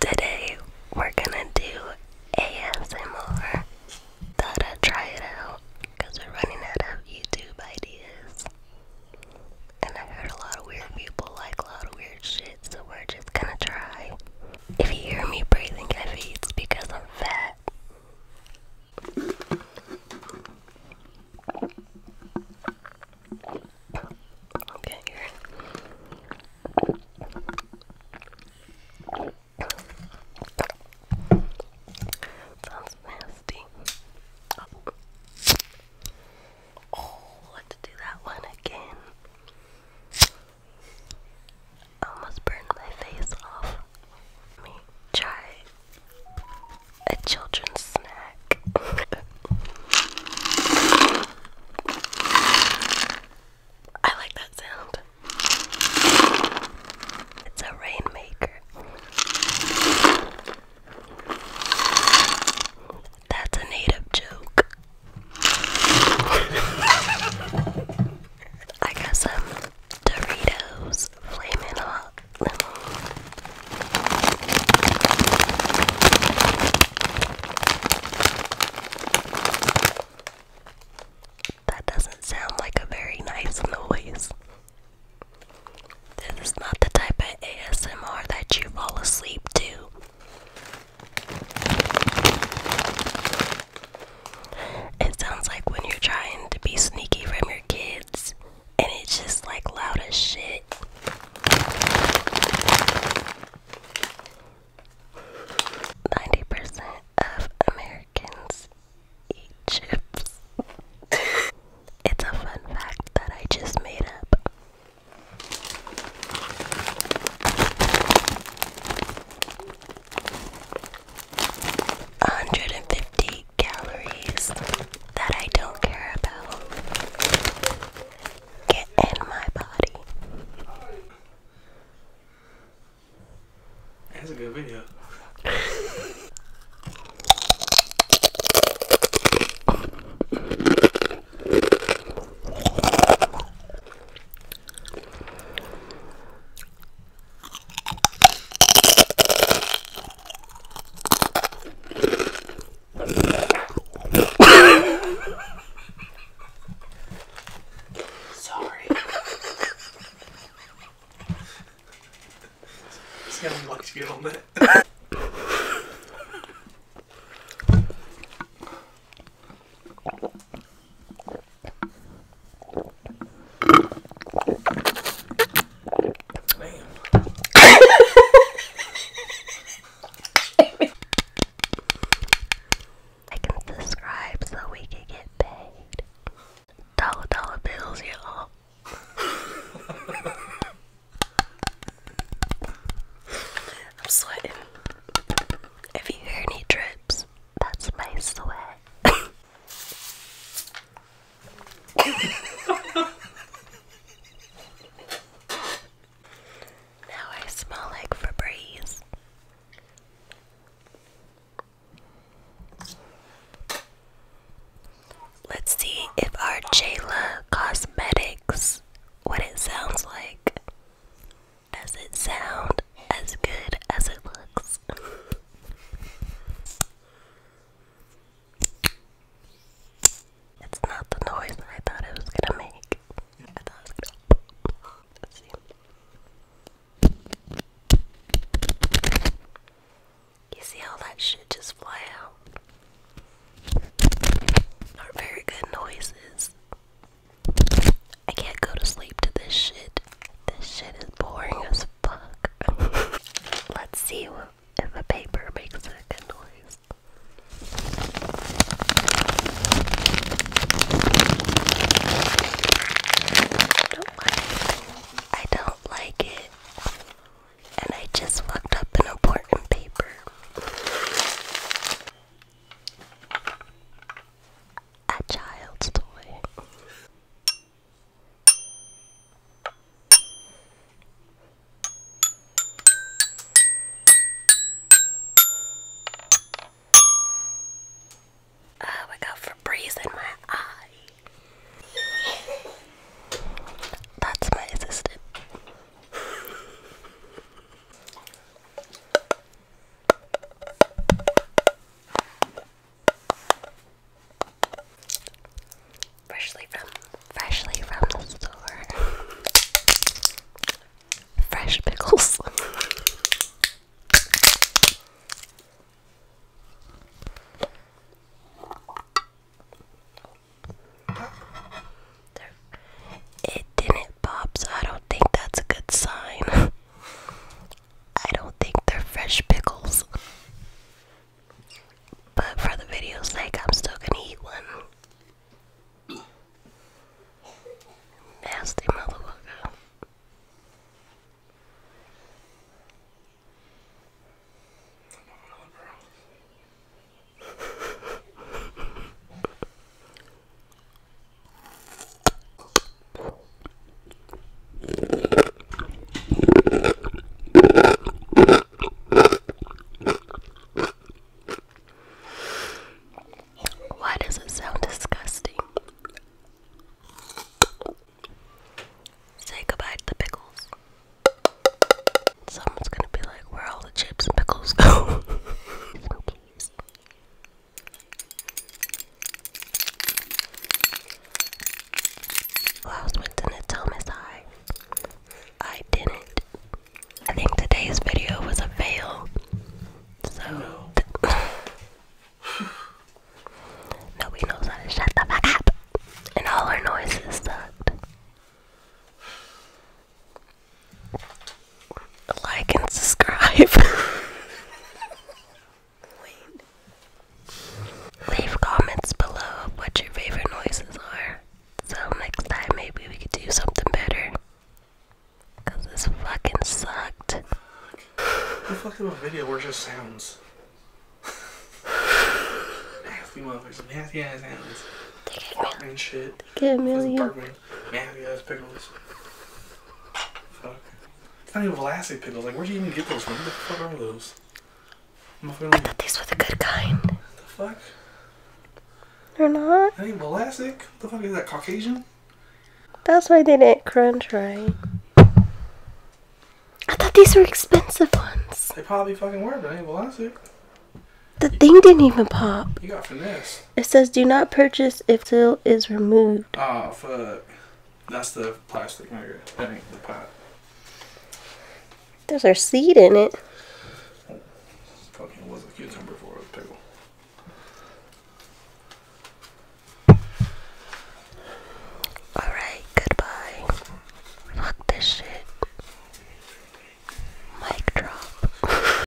Today we're gonna do ASMR. Thought I'd try it out because we're running out of YouTube ideas. And I heard a lot of weird people like a lot of weird shit, so we're just gonna try. If you hear me breathing it's because I'm fat. Okay, here. Sounds nasty. Oh. let's do that one again. I almost burned my face off. Let me try a children's snack. I like that sound. It's a rainmaker. That's a native joke. I guess um Doritos Flamin' Hot That doesn't sound like a very nice noise. This is not the type of ASMR that you fall asleep to. It sounds like when you're trying to be sneaky from your kids and it's just like loud as shit. Ninety percent of Americans eat chips. it's a fun fact that I just made up. Hundred and fifty calories that I don't care about get in my body. That's a good video. Sorry. See how much you get on that. I can subscribe so we can get paid. Dollar dollar bills, y'all. I'm sweating. If you hear any drips, that's my sweat now I smell like Febreze. Let's see if our Jayla Cosmetics, what it sounds like. Does it sound as good as it looks. it's not the noise I thought it was gonna make. I thought it was gonna. let You see how that shit just fly out? Are very good noises. I can't go to sleep to this shit. This shit is boring as book. Let's see if the paper makes that noise. I don't like it. And I just fucked up an important paper a child's toy. Oh, I got Febreze in my eye. That's my assistant. Freshly from freshly from the store. Fresh pickles. It didn't pop, so I don't think that's a good sign. I don't think they're fresh pickles. But for the video's sake, I'm still gonna eat one. Nasty motherfucker. Why does it sound disgusting? Say goodbye to the pickles. Someone's gonna be like, where all the chips and pickles go? I went to Thomas High. I didn't. I think today's video was a fail. So. Nobody knows how to shut the fuck up. And all our noises sucked like and subscribe. Wait. Leave comments below of what your favorite noises are. So next time maybe we could do something better. Cause this fucking sucked. The fuck of a video where just sounds. nasty motherfuckers, nasty ass sounds. They get, mil- and shit. they get a million like these ass pickles. Fuck. It's not even Vlasic pickles. Like, where'd you even get those from? What the fuck are those? I thought these were the good kind. What the fuck? They're not. I ain't Vlasic. the fuck is that? Caucasian? That's why they didn't crunch right. I thought these were expensive ones. They probably fucking were, but I ain't Vlasic. The thing didn't even pop. You got finesse. It says do not purchase if seal is removed. Oh fuck. That's the plastic nugget. That ain't the pot. There's our seed in it. Fucking was a cucumber for a pickle. Alright, goodbye. Fuck this shit. Mic drop.